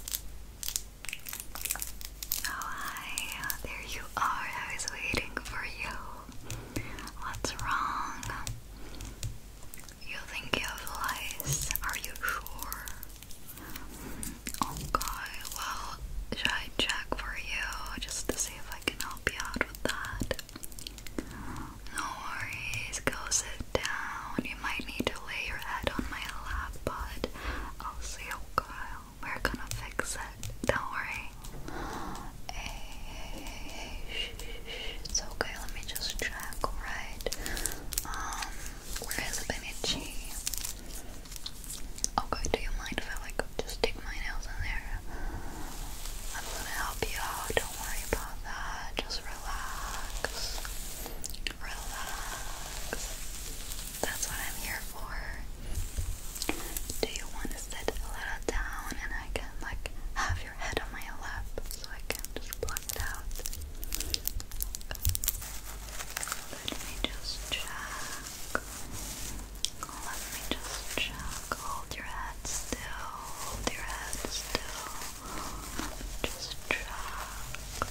Oh hi, there you are. I was waiting for you. What's wrong? You think you have lice? Are you sure? Okay, oh, well, should I check for you just to see if I can help you out with that? No worries, go sit down. You you might need to lay your head on my lap, but I'll see you, Kyle. We're gonna fix it. Don't worry. Hey, It's okay. Let me just check. Right. Um, where is Benichi? Okay. Oh, Do you mind if I like just stick my nails in there? I'm gonna help you out. Don't worry about that. Just relax relax. That's what I'm here for. Do you want to sit a little down and I can like have your head on my lap so I can just block it out? Let me just check. Let me just check. Hold your head still. Hold your head still. Just check.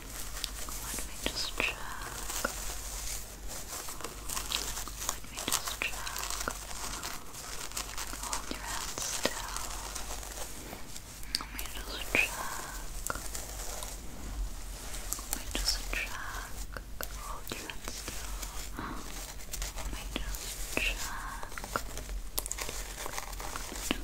Let me just check. Let me just check. Hold your hands still. Let me just check. Let me just check. Hold your hands still. Let me just check. Let me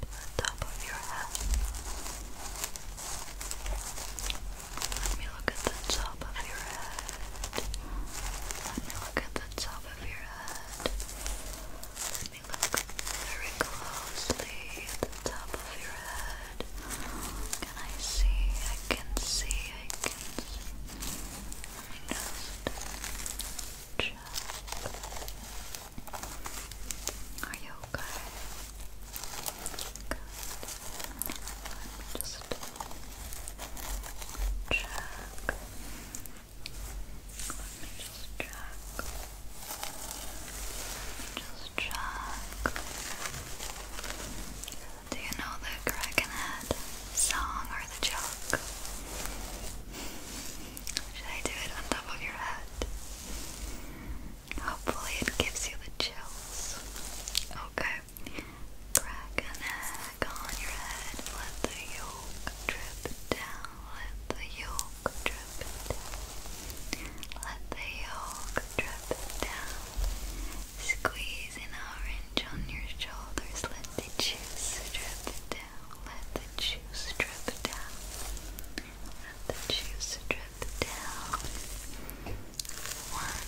the top of your head. Let me look at the top of your head. Let me look at the top of your head. Let me look very closely at the top of your head. Can I see? I can see. I can see. Let me just check. Are you okay? Let me just check. Let me just check. Let me just check. Do you know the Krakenhead song or the joke? Should I do it on top of your head? Hopefully, it gives you the chills. Okay. Crack an egg on your head. Let the yolk drip down. Let the yolk drip down. Let the yolk drip down. Squeeze an orange on your shoulders. Let the juice drip down. Let the juice drip down. Let the juice drip down. One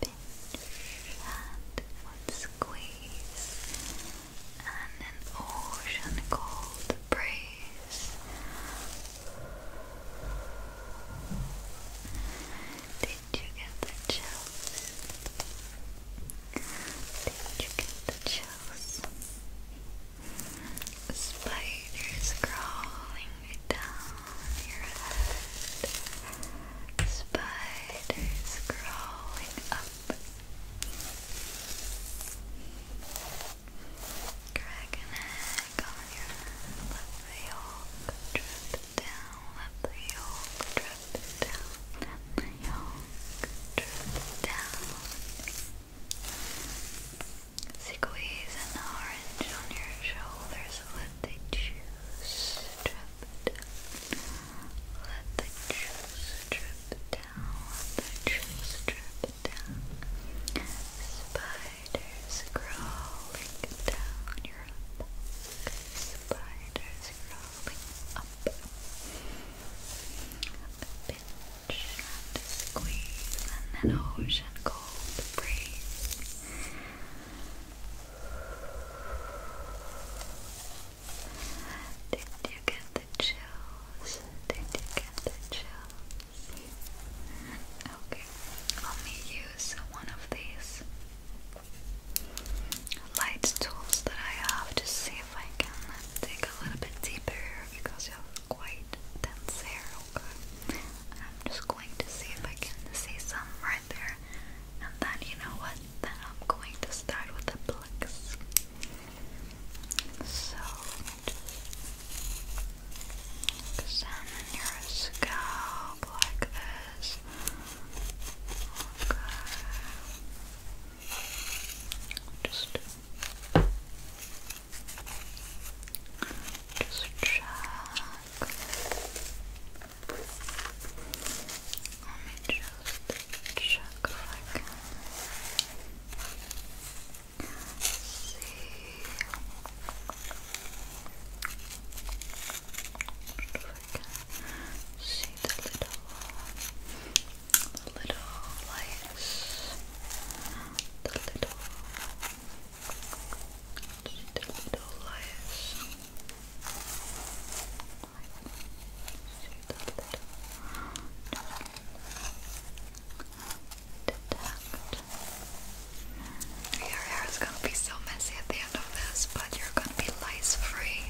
pinch and one squeeze, and an ocean cold breeze. Did you get the chills? Did you get the chills? Spiders crawling down your head. Spiders crawling up. Crack an egg on your head. Let the yolk drip down. Let the yolk drip down. Let the yolk drip down. Squeeze an orange on your shoulders. Let the juice drip Let the juice drip down. Let the juice drip down. Spiders crawling down your back. Spiders crawling up and squeeze and an ocean cold breeze. Did you get the chills? Did you get the chills? Okay, let me use one of these light tools that I have to see if I can dig a little bit deeper because you have quite dense hair, I'm just going to see if I can see some right there. And then, you know what? Then I'm going to start with the plucks. So, just examine your scalp like this. Okay. Just, just check. Let me just check if see. if I can see the little the little lights, the little, the little lights. Your hair is going to be so messy at the end of this, but you're going to be lice free.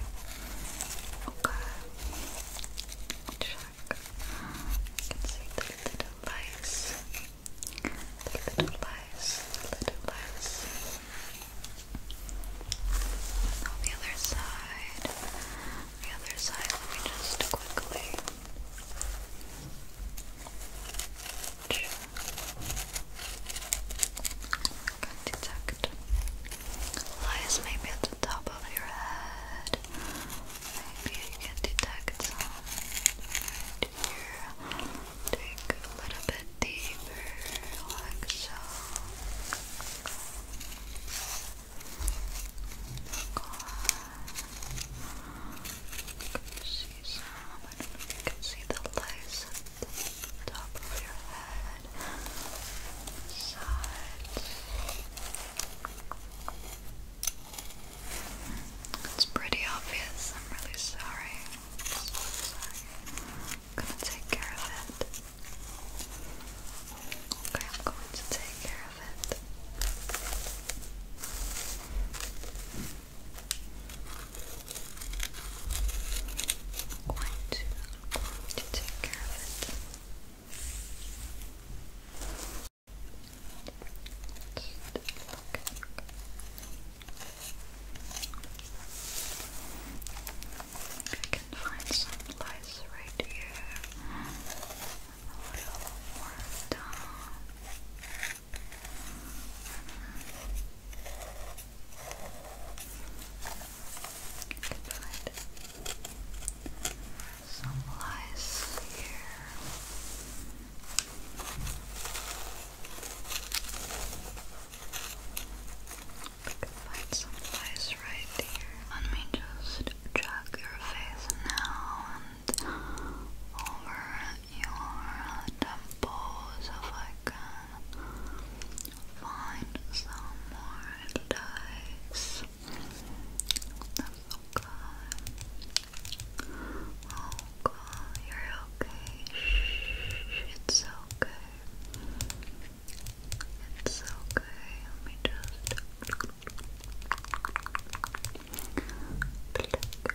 Okay back. You can see the little lice. little lice. little lice. On the other side. The other side. Let me just quickly. Can detect lice maybe at the top of your head, Maybe you can detect some Take a little bit deeper, like so. see some? you can see the lights at the top of your head. Sides. It's pretty obvious. I'm really sorry. I'm gonna take care of it. Okay, I'm going to take care of it. I'm going to, I'm going to take care of it i am going to take care of it I can find some lights right here. A little more down. Mm -hmm can find some lice here. We can find some lice right here. Let me just check your face now and over your temples if I can find some more dice. That's so good. Oh god, you're okay. Shh, it's okay. It's okay. Let me just click. Click. Click. Click.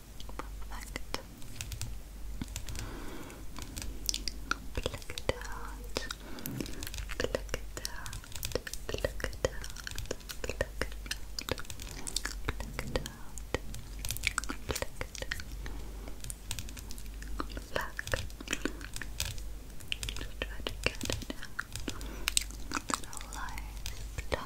Perfect. Pluck it out. Pluck it out. Pluck it out. Pluck it out. Pluck it out. Pluck it out. Pluck. try to get it out. Little lies. Pluck. Pluck,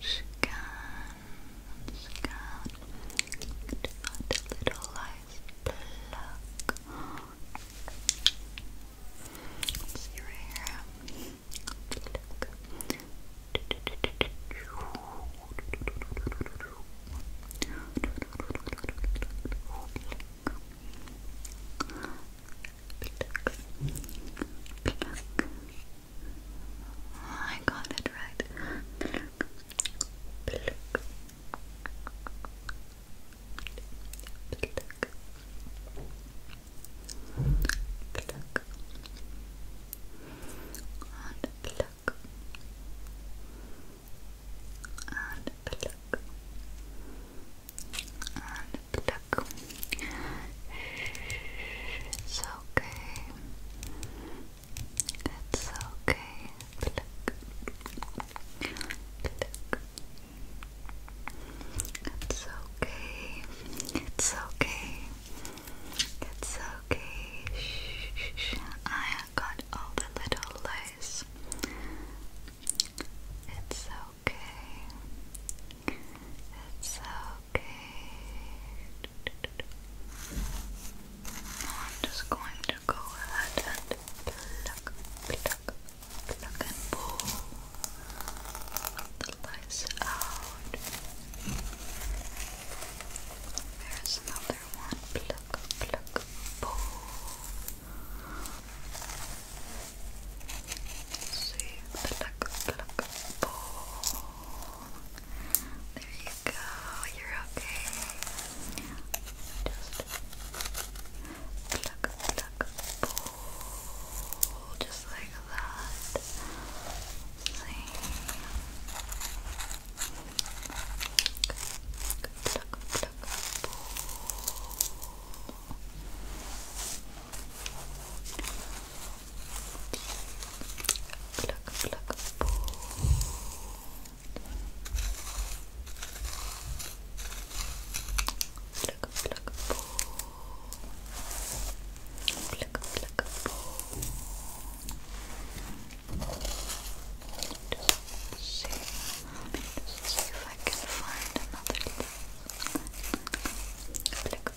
scan, scan. To find a little life plug. Let's see right here. I got it right. Pluck. Pluck. Pluck. Pluck. And pluck. And pluck. And pluck. It's okay. It's okay. Pluck. Pluck. It's okay. It's okay. It's okay. Shh, shh, shh. I got all the little lies. It's okay. It's okay. I'm just going to go ahead and pull the lice out. There's another one. Pluck, pluck, pull. see, pluck, pluck, pull. There you go, you're okay. Just pluck, pluck, pull, just like that. Pluck, pluck, pull. Pluck, pluck, pull. Pluck, pluck, pull. Pluck, pluck, pull. Just see, just see if I can find another. Pluck, pluck,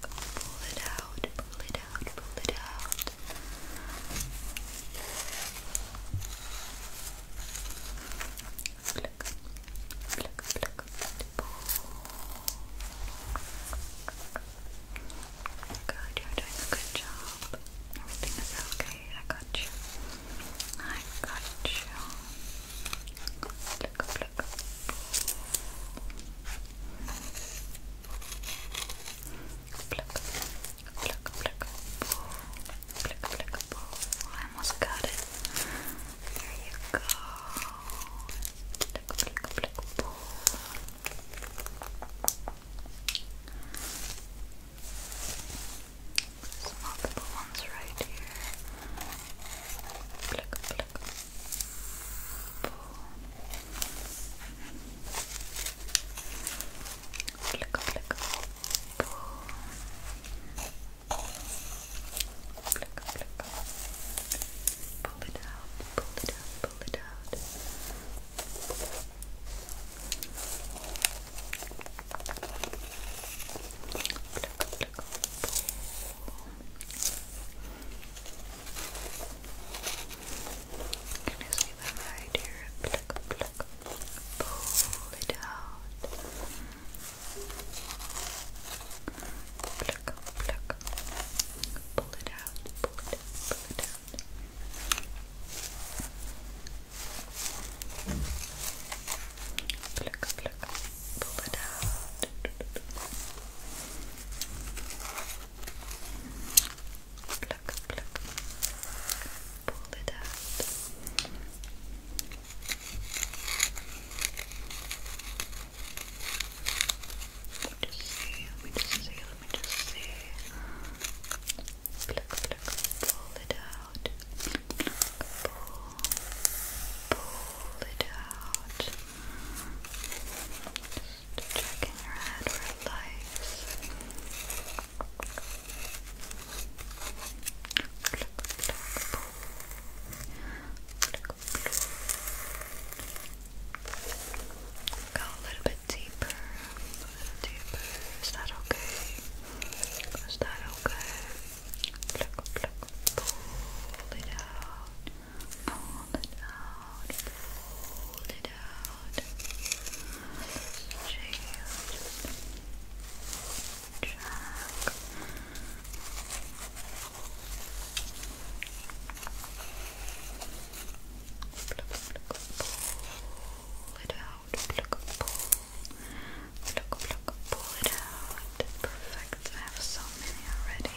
pull it out, pull it out, pull it out. Flick, flick, flick, pull. Good, you're doing a good job. Everything is okay. I got you. I got you. Flick, flick, Pluck, pluck, pluck, pull. Pluck, pluck, pull. I almost got it. There you go. Pluck, pluck, pluck, pull. There's multiple ones right here. Pluck, pluck, pull. Flick, flick, pull. Flick, flick. Pull it out, pull it out, pull it out. Flick, flick, pull. Flick, flick, pull. Can you see that right Pluck, pluck, pull it out. Pluck, pluck, pull it out, pull it, pull it Pluck, pluck, pull it out pluck, pluck, pull it out. Let me just see, let me just see, let me just see. pull it out. pull it out. Just checking your head for lice. Go a little bit deeper, Is that okay? Is that okay? pull it out. Pull it out, pull it out. Shake, check. Pull it out, pull. Pluck, pluck, pull it out. Perfect. I have so many already.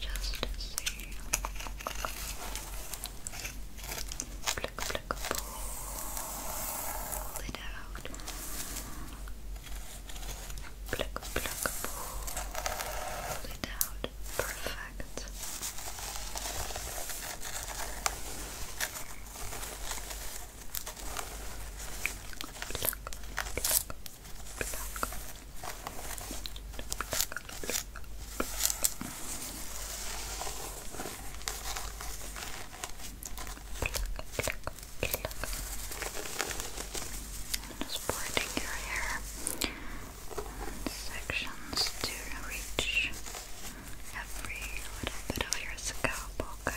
just to see pluck, pluck, pull it out pluck, pluck, pull it out perfect pluck, pluck, pluck just parting your hair in sections to reach every little bit of your scalp, okay?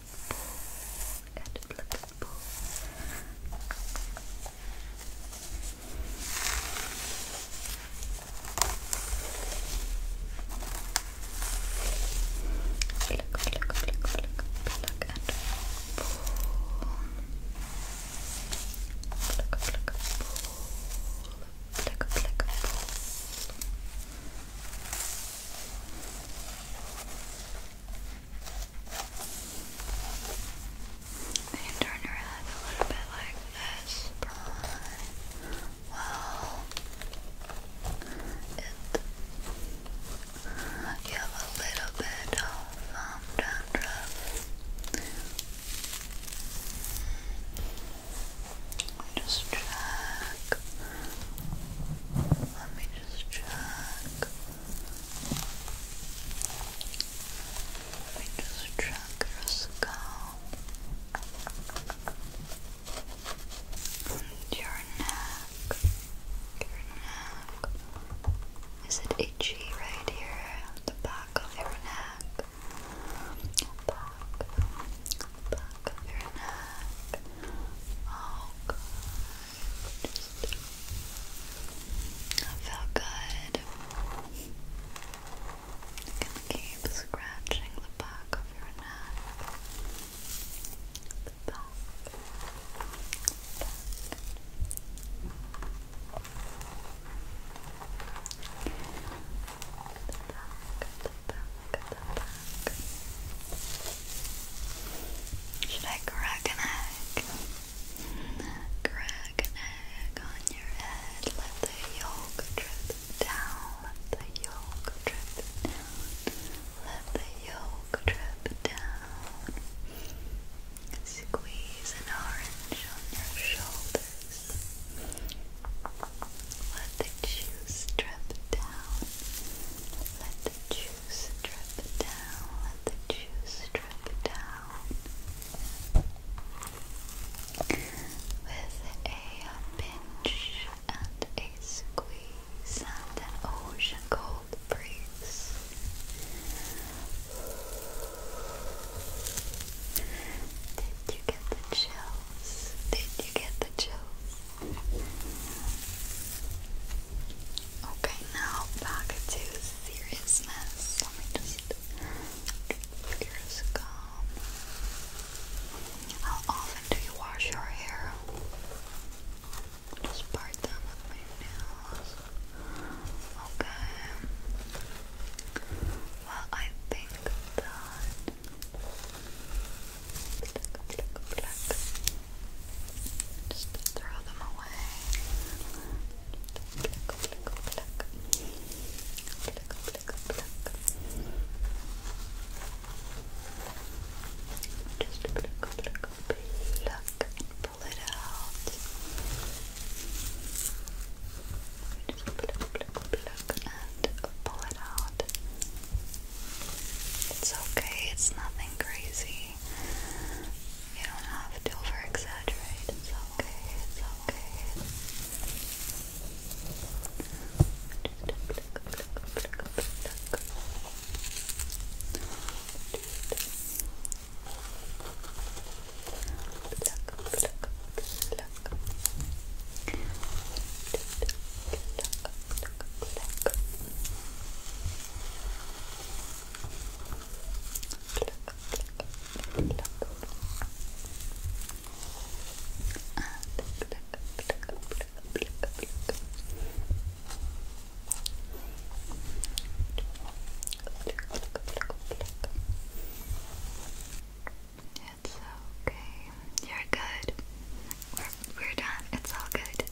and flexible. Pluck, pluck, pluck, pluck, pluck and pull. Pluck, pluck, pull. Pluck, pluck, pull. You can turn your head a little bit like this, Well, you have a little bit of um, just check. Let me just check. Let me just track your scalp and your neck. Your neck. Is it itchy right here at the back of your neck? Back, back of your neck. Oh, that felt good. You can keep scratching the back of your neck. The Back. The back, the back, the back. Should I crack an egg? Crack an egg on your head. Let the yolk drip down. Let the yolk drip down. Let the yolk drip down. Squeeze an orange on your shoulders. Let the juice drip down. Let the juice drip down. Let the juice drip down. With a pinch and a squeeze and an ocean cold breeze. Did you get the chills? Did you get the chills? Okay, now back to seriousness. Let me just your scum. How often do you wash your hair? Just part them with my nails. Okay. Well, I think that. Black, black, black. Just throw them away. Pluck, pluck, pluck. Pluck, pluck, pluck. Just pluck, pluck, pluck, pull it out. Just pluck, pluck, pluck, and pull it out. It's okay, it's nothing crazy. You don't have to over It's okay. It's okay. It's okay. You're good. We're, done. It's all good.